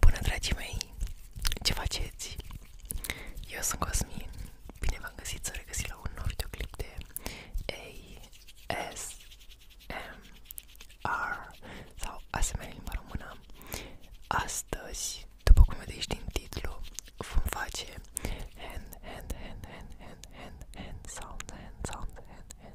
Bună, dragii mei! Ce faceți? Eu sunt Cosmin. Bine v-am găsit să regăsit la un nou videoclip de ASMR sau ASMR în limba română. Astăzi, după cum vedeți din titlu, vom face hand, hand, hand, hand, hand, hand, hand, sound, hand, sound, hand, hand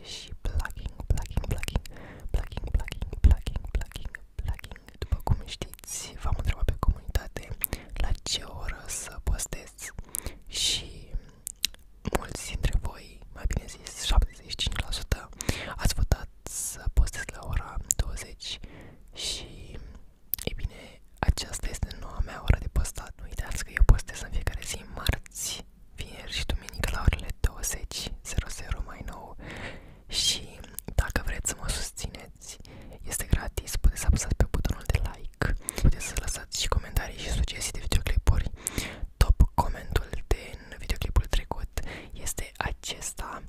și plugging, plugging, plugging, plugging, plugging, plugging, plugging, plugging. După cum știți, v-am pe comunitate la ce oră să postez și mulți dintre voi, mai bine zis 75%, ați votat să postez la ora 20 și, e aceasta este noua mea oră de postat. Nu uitați că eu postez în fiecare zi marți vineri și duminică la orele 20.00 mai nou și dacă vreți să mă susțineți, este gratis, puteți să apăsați pe butonul de like, puteți să lăsați și comentarii și sugestii de videoclipuri. Top comentul din videoclipul trecut este acesta.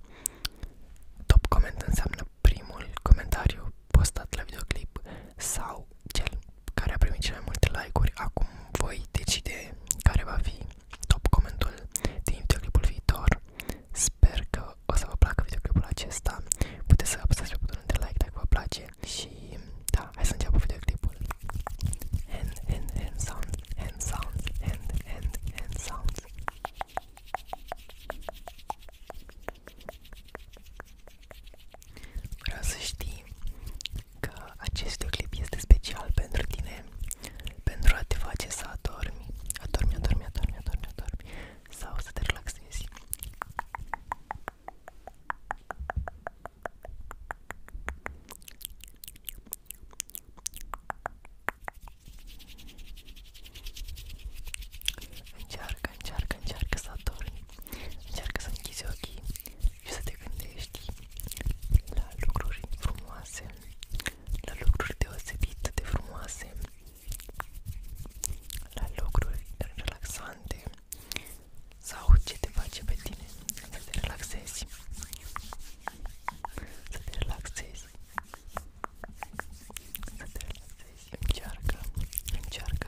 Top comment înseamnă primul comentariu postat la videoclip sau cel care a primit cele mai multe like-uri. Acum voi decide care va fi top comentul din videoclipul viitor. Sper că o să vă placă videoclipul acesta. Puteți să apăsați pe butonul de like dacă vă place și da, hai să înceapă videoclipul. Hand, hand, hand sound, hand sound, hand, hand, hand sound. Vreau să știi că acest videoclip este special pentru tine, pentru a te face să adormi, adormi, adormi, adormi, adormi, adormi sau să te relaxezi. Încearcă, încearcă, încearcă să adormi Încearcă să închizi ochii și să te gândești la lucruri frumoase, la lucruri deosebit de frumoase, la lucruri relaxante sau ce te face pe tine să te relaxezi, să te relaxezi, să te relaxezi, încearcă, încearcă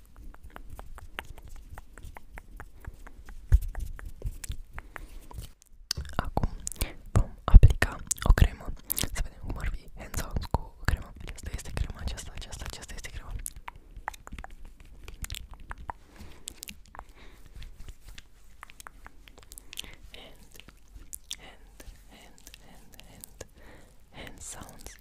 Acum vom aplica o cremă. Să vedem cum ar fi hands crema. Asta crema, aceasta, aceasta, aceasta crema. sounds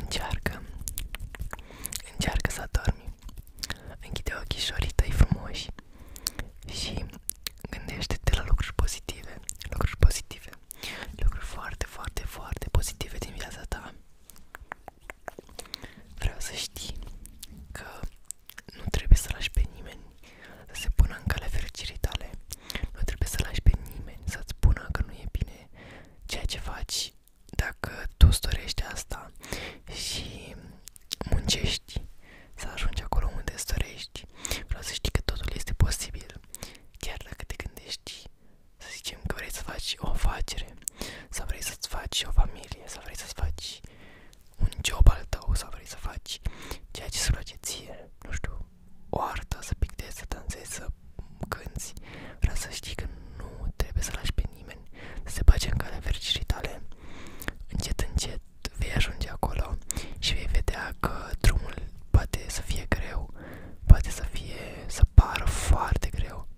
Încearcă Încearcă să dormi Închide ochișorii tăi frumoși Și gândește-te la lucruri pozitive Lucruri pozitive lucruri foarte, foarte, foarte pozitive din viața ta. Vreau să știi că nu trebuie să lași pe nimeni să se pună în calea fericirii tale. Nu trebuie să lași pe nimeni să-ți spună că nu e bine ceea ce faci dacă tu îți dorești asta și muncești să ajungi acolo unde îți dorești. Vreau să știi că totul este posibil, chiar dacă te gândești să zicem că vrei să faci o afacere, să vrei să-ți faci o familie, să vrei să-ți faci un job al tău, sau vrei să faci ceea ce îți place ție, nu știu, o artă, să pictezi, să dansezi, să cânti, vreau să știi că nu trebuie să lași pe nimeni să se bage în calea fericirii tale. Încet, încet vei ajunge acolo și vei vedea că drumul poate să fie greu, poate să fie, să pară foarte greu,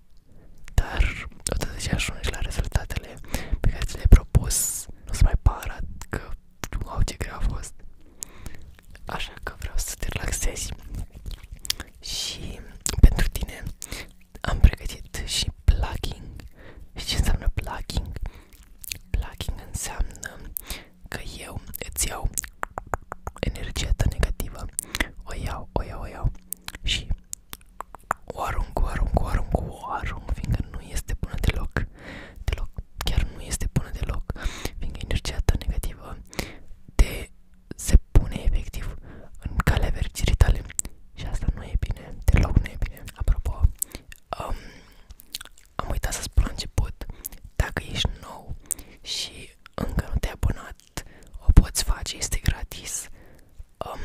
dar odată ce ajungi la rezultatele pe care ți le-ai propus, nu se mai pară că, wow, ce greu a fost. Așa că vreau să te relaxezi și pentru tine am pregătit și plugging. Și ce înseamnă plugging? Plugging înseamnă că eu îți iau energia ta negativă, o iau, o iau, o iau și o arunc, o arunc, o arunc, o arunc, fiindcă nu este bună deloc, deloc, chiar nu este bună deloc, fiindcă energia ta negativă te se pune efectiv în calea vergirii tale și asta nu e bine, deloc nu e bine. Apropo, um, am uitat să spun la început, dacă ești nou și încă nu te-ai abonat, o poți face, este gratis. Um,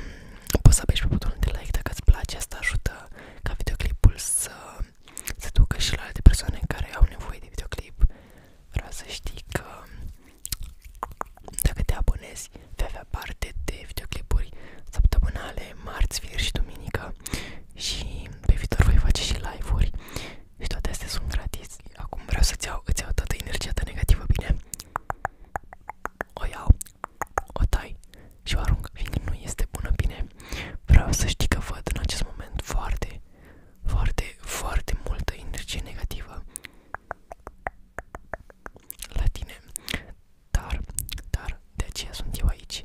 poți să apeși pe butonul de like dacă îți place, asta ajută ca videoclipul să se ducă și la alte persoane care au nevoie de videoclip. Vreau să știi că dacă te abonezi, vei avea parte de videoclipuri săptămânale, marți, vineri și duminică și pe viitor voi face și live-uri și toate astea sunt gratis. Acum vreau să-ți iau, îți iau toată energia ta negativă, bine? O iau, o tai și o arunc, fiindcă nu este bună, bine? Vreau să știi că văd în acest moment foarte, foarte, foarte multă energie negativă la tine. Dar, dar, de aceea sunt eu aici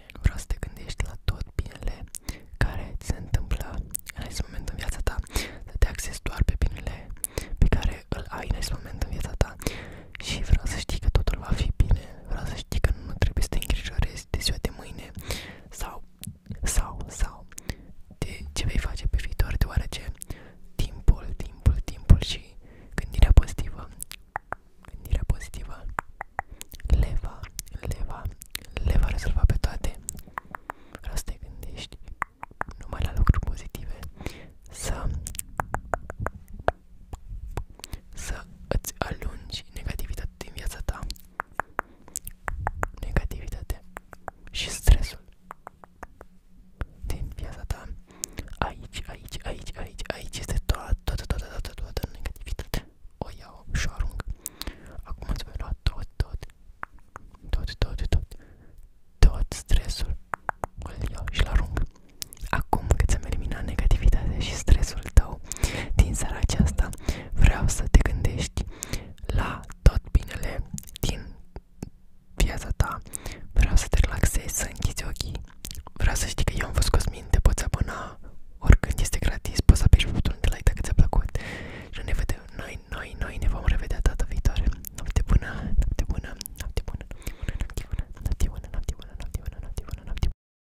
bine, nu vreau să te gândești la tot binele care ți se întâmplă în acest moment în viața ta, să te axezi doar pe binele pe care îl ai în acest moment în viața ta și vreau să știi că totul va fi bine, vreau să știi că nu trebuie să te îngrijorezi de ziua de mâine sau, sau, sau de ce vei face pe viitor, deoarece timpul, timpul, timpul și gândirea pozitivă, gândirea pozitivă le va, le va, le va rezolva pe toate Vreau să te gândești numai la lucruri pozitive Să, să îți alungi negativitatea din viața ta Negativitatea și stresul din viața ta Aici, aici, aici, aici, aici este toată, toată, toată, toată, toată negativitatea. O iau și arunc. Acum îți voi lua tot, tot, tot, tot, tot, tot stresul. Îl și arunc. Acum că ți-am eliminat negativitatea și stresul tău din seara aceasta, vreau să te gândești la tot binele din viața ta. Vreau să te relaxezi, să închizi ochii Vreau să știi că eu am fost Cosmin, te poți abona oricând, este gratis, poți să apeși pe butonul de like dacă ți-a plăcut. Și ne vedem, noi, noi, noi ne vom revedea data viitoare. Noapte bună, noapte bună, noapte bună, noapte bună, noapte bună, noapte bună, noapte bună, noapte bună, noapte bună, noapte bună.